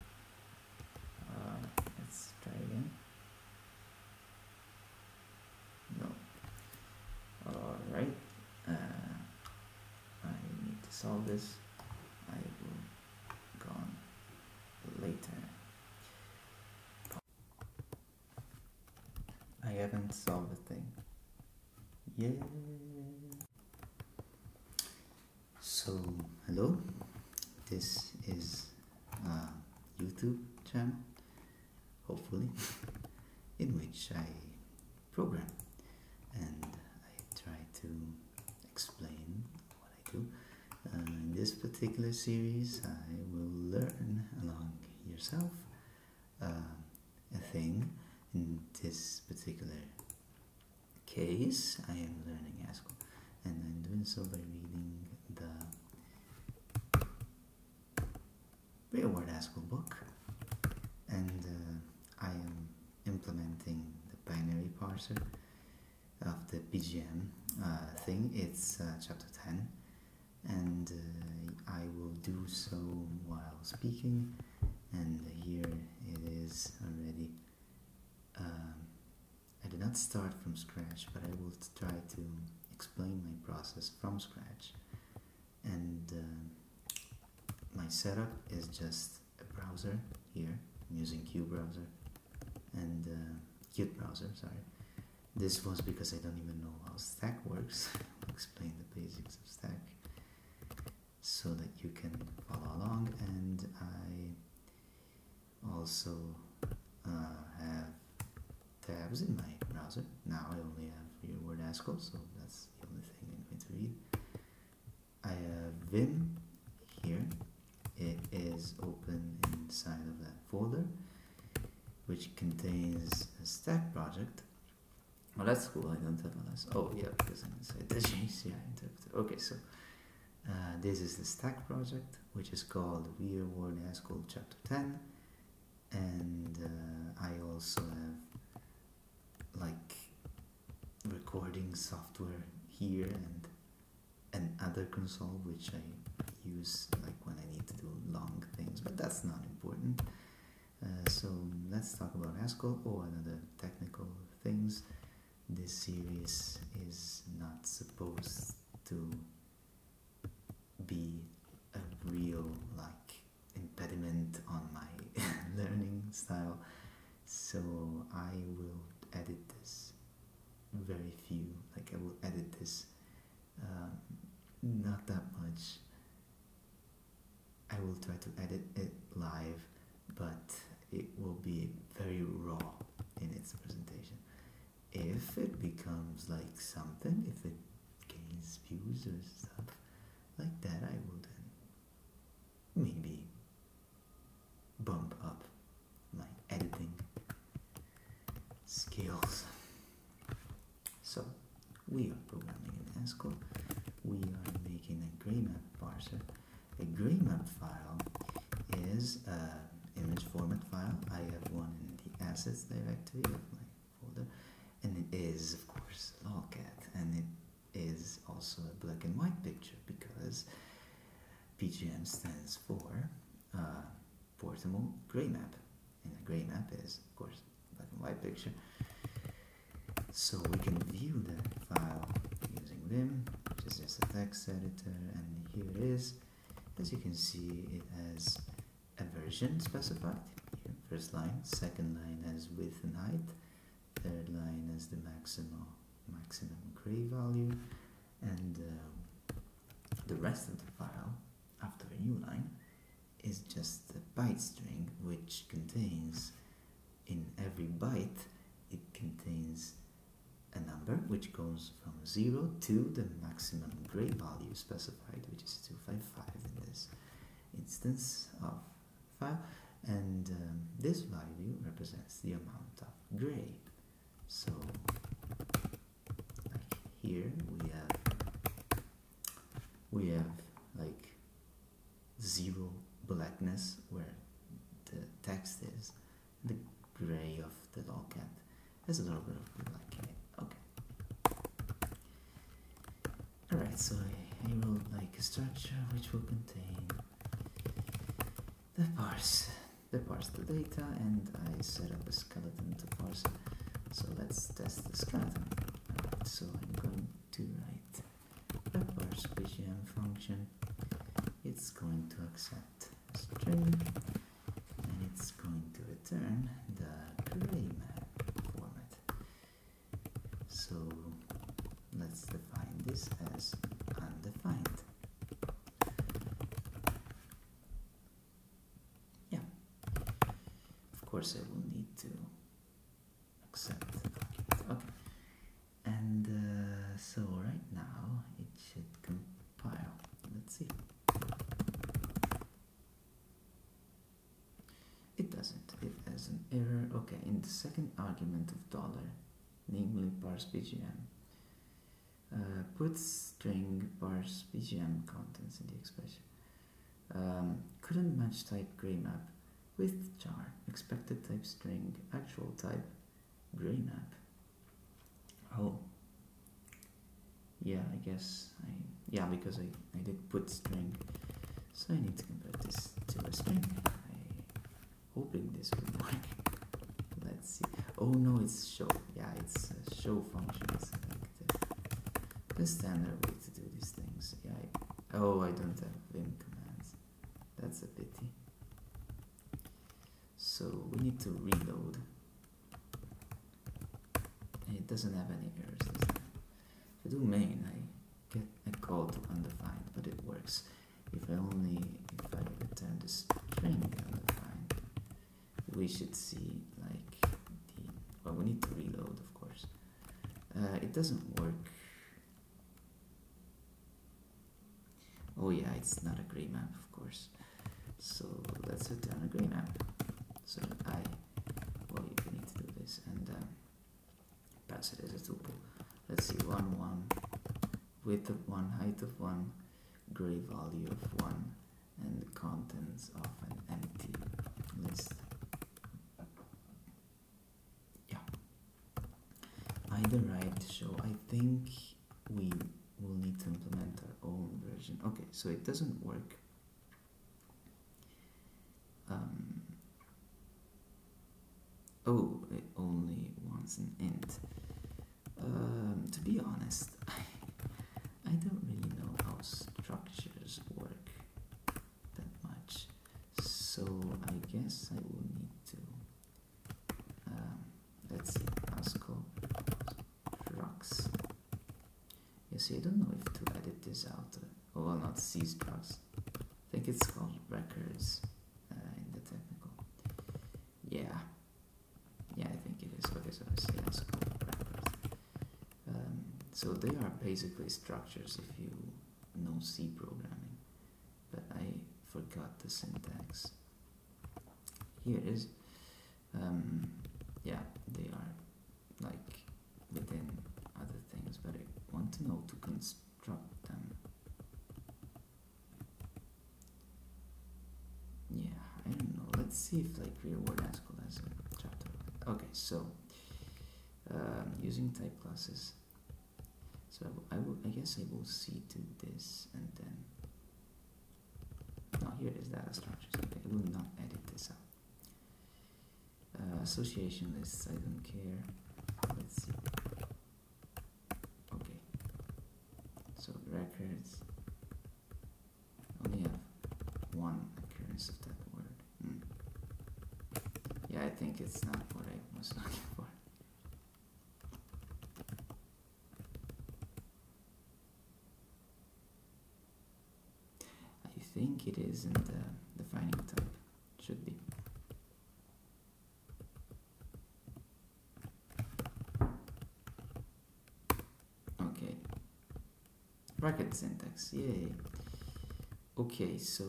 Uh, let's try again. No. All right. Uh, I need to solve this. I will go on later. I haven't solved the thing. Yeah. So, hello, this is YouTube channel, hopefully, in which I program and I try to explain what I do. Uh, in this particular series, I will learn along yourself uh, a thing in this particular case, I am learning Haskell. And I'm doing so by reading the Real World Haskell book. And uh, I am implementing the binary parser of the BGM uh, thing. It's uh, chapter 10. And I will do so while speaking. And here it is already. Um, I did not start from scratch, but I will try to explain my process from scratch. And um, my setup is just a browser here. using QBrowser and uh, QBrowser. sorry. This was because I don't even know how Stack works. I'll explain the basics of Stack so that you can follow along and I also uh, have tabs in my browser now I only have real word ASCII so that's the only thing I'm going to read I have Vim here it is open inside of that folder which contains a stack project well, that's cool. I don't have a last. Oh, yeah, because I'm inside the JCI interpreter. Okay, so uh, this is the stack project, which is called Weir Word High Called Chapter 10. And uh, I also have like recording software here and other console, which I use like when I need to do long things, but that's not important. Uh, so let's talk about Haskell or oh, another technical things. This series is not supposed to be a real like impediment on my learning style. So I will edit this very few. Like I will edit this um, not that much I will try to edit it live, but it will be very raw in its presentation. If it becomes like something, if it gains views or stuff like that, I will then maybe bump up my editing skills. So we are programming in Haskell. We are making a graymap parser. A graymap file is an uh, image format file. I have one in the assets directory of my folder, and it is, of course, cat, and it is also a black and white picture because PGM stands for uh, Portable Gray Map. In a gray map is, of course, black and white picture. So we can view the file using Vim, which is just a text editor, and here it is. As you can see, it has a version specified. first line, second line has width and height, third line as the maximal maximum gray value, and um, the rest of the file after a new line is just a byte string which contains in every byte it contains a number which goes from 0 to the maximum gray value specified which is 255 in this instance of file and um, this value represents the amount of gray so like here we have we have like zero blackness where the text is the gray of the dog cat has a little bit of black in it okay all right so i wrote like a structure which will contain the parse the parse the data and i set up a skeleton to parse. So let's test the skeleton. so I'm going to write a parse PGM function. It's going to accept string and it's going to return the gray format. So let's define this as undefined. Yeah. Of course, I will need to accept Okay. And uh, so right now it should compile. Let's see. It doesn't. It has an error. Okay, in the second argument of dollar, namely parse bgm, uh, put string parse bgm contents in the expression. Um, couldn't match type graymap with char. Expected type string. Actual type graymap. Oh. Yeah, I guess I yeah because I, I did put string. So I need to convert this to a string. hoping this will work. Let's see. Oh no, it's show. Yeah, it's show functions. The standard way to do these things. Yeah. oh, I don't have Vim commands. That's a pity. So we need to reload. it doesn't have any errors this time. If I do main, I get a call to undefined, but it works. If I only if I return the string undefined, we should see like the well we need to reload of course uh, it doesn't work oh yeah it's not a gray map of course so let's set down a gray map so I well you need to do this and um, pass it as a tuple let's see 1 1 width of 1 height of 1 gray value of 1 and the contents of an empty list. Yeah. Either right, so I think we will need to implement our own version. Okay, so it doesn't work. Um, oh, it only wants an int. Um, to be honest, I, don't really know how structures work that much, so I guess I will need to. Um, let's see, ASCO drugs. I don't know if to edit this out. Or, uh, well, not seize drugs. I think it's called records uh, in the technical. Yeah, yeah, I think it is. Okay, so I um, so they are basically structures if you know C programming, but I forgot the syntax. Here it is. Um, yeah, they are like within other things, but I want to know to construct them. Yeah, I don't know. Let's see if like real world Haskell has a chapter. Okay, so um, using type classes. So I, will, I guess I will see to this and then. Now oh, here is data structures. Okay, I will not edit this out. Uh, association lists, I don't care. Let's okay so records only have one occurrence of that word hmm. yeah I think it's not what I was looking for I think it is in the defining type should be Okay. Bracket syntax, yay. Okay, so...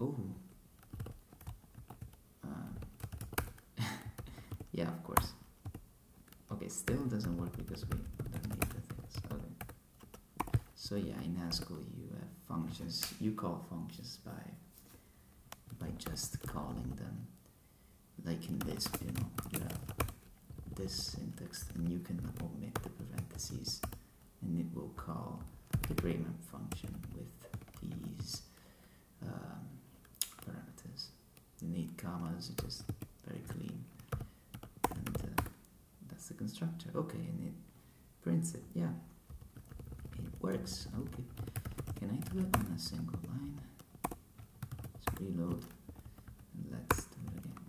Oh. Uh, yeah, of course. Okay, still doesn't work because we don't need the things. Okay. So yeah, in Haskell you have functions, you call functions by by just calling them like in this you know you this syntax and you can omit the parentheses and it will call the gray function with these um, parameters you need commas It's just very clean and uh, that's the constructor okay and it prints it. Yeah, it works. Okay, can I do it in a single line? Let's reload. And let's do it again.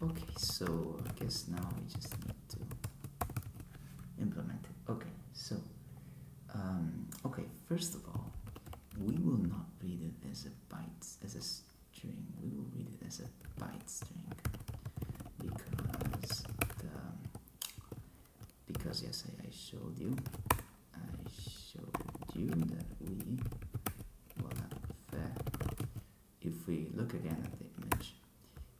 Yeah. Okay, so I guess now we just need to implement it. Okay, so um, okay, first of all, we will not read it as a byte as a string. We will read it as a bite string because because yes I, I showed you I showed you that we voila fair if we look again at the image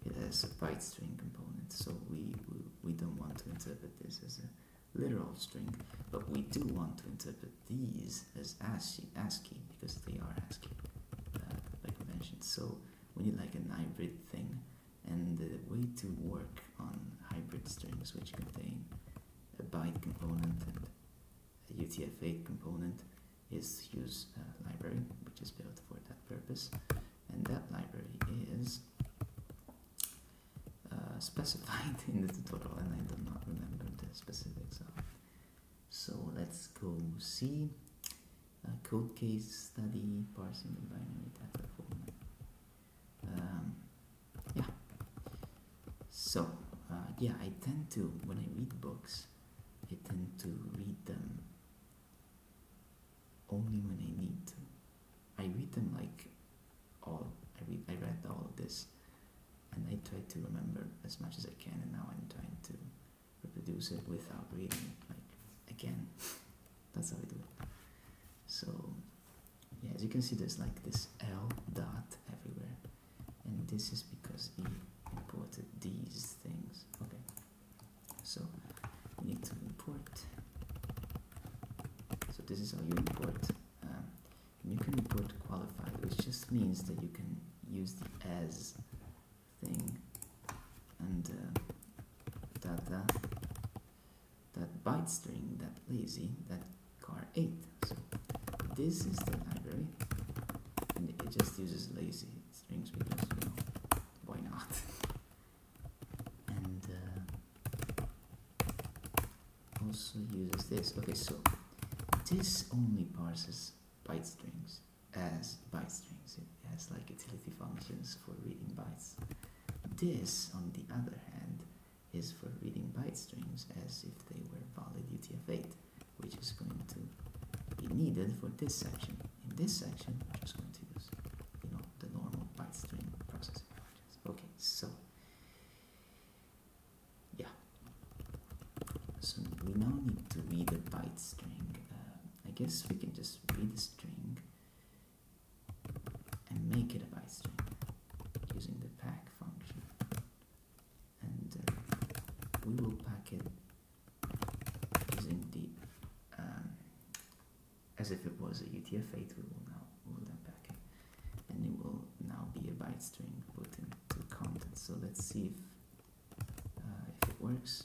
it has a byte string component so we, we don't want to interpret this as a literal string but we do want to interpret these as ASCII, because they are ASCII by uh, convention so we need like an hybrid thing. And the way to work on hybrid strings which contain a byte component and a UTF-8 component is use a uh, library which is built for that purpose. And that library is uh, specified in the tutorial and I do not remember the specifics of so let's go see code case study parsing the binary data format. Um, yeah. So uh, yeah, I tend to when I read books, I tend to read them only when I need to. I read them like all I read. I read all of this, and I try to remember as much as I can. And now I'm trying to reproduce it without reading it like again that's how we do it so yeah as you can see there's like this L dot everywhere and this is because he imported these things okay so need to import so this is how you import um, you can import qualified which just means that you can use it as thing and uh, that that byte string that lazy that car eight so this is the library and it just uses lazy strings because you know why not and uh, also uses this okay so this only parses byte strings as byte strings. It has like utility functions for reading bytes. This, on the other hand, is for reading byte strings as if they were valid UTF-8, which is going to be needed for this section. In this section, I'm just going to use, you know, the normal byte string processing functions. Okay, so yeah so we now need to read the byte string uh, i guess we can just read the string and make it a byte string using the pack function and uh, we will pack it using the um, as if it was a utf-8 we will now we will then it and it will now be a byte string put in the content. So let's see if, uh, if it works.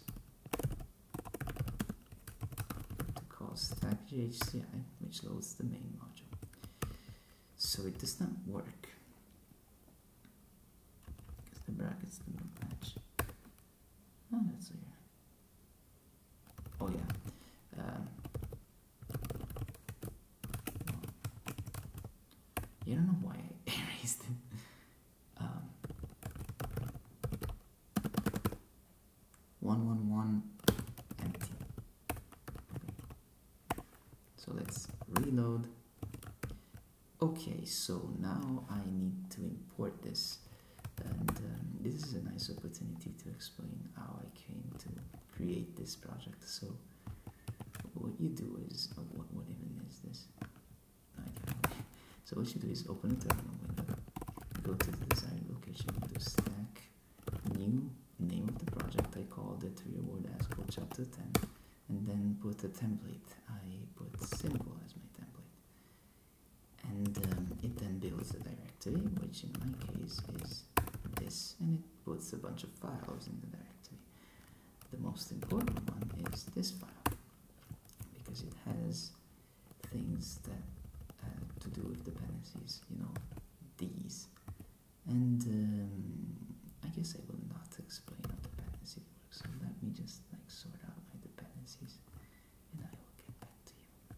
To call stack GHCI, which loads the main module. So it does not work because the brackets do not match. Oh, that's weird. Oh yeah. Um, I don't know why erased um, one, one, one, empty. So let's reload. Okay, so now I need to import this. And um, this is a nice opportunity to explain how I came to create this project. So what you do is, uh, what, what even is this? So what you do is open a terminal window, go to the desired location, do stack, new, name of the project, I called it reward ASCO chapter 10, and then put a template. I put simple as my template. And um, it then builds the directory, which in my case is this, and it puts a bunch of files in the directory. The most important one is this file because it has things that uh, to do with dependencies, you know, these. And um, I guess I will not explain how dependency works, so let me just like sort out my dependencies and I will get back to you.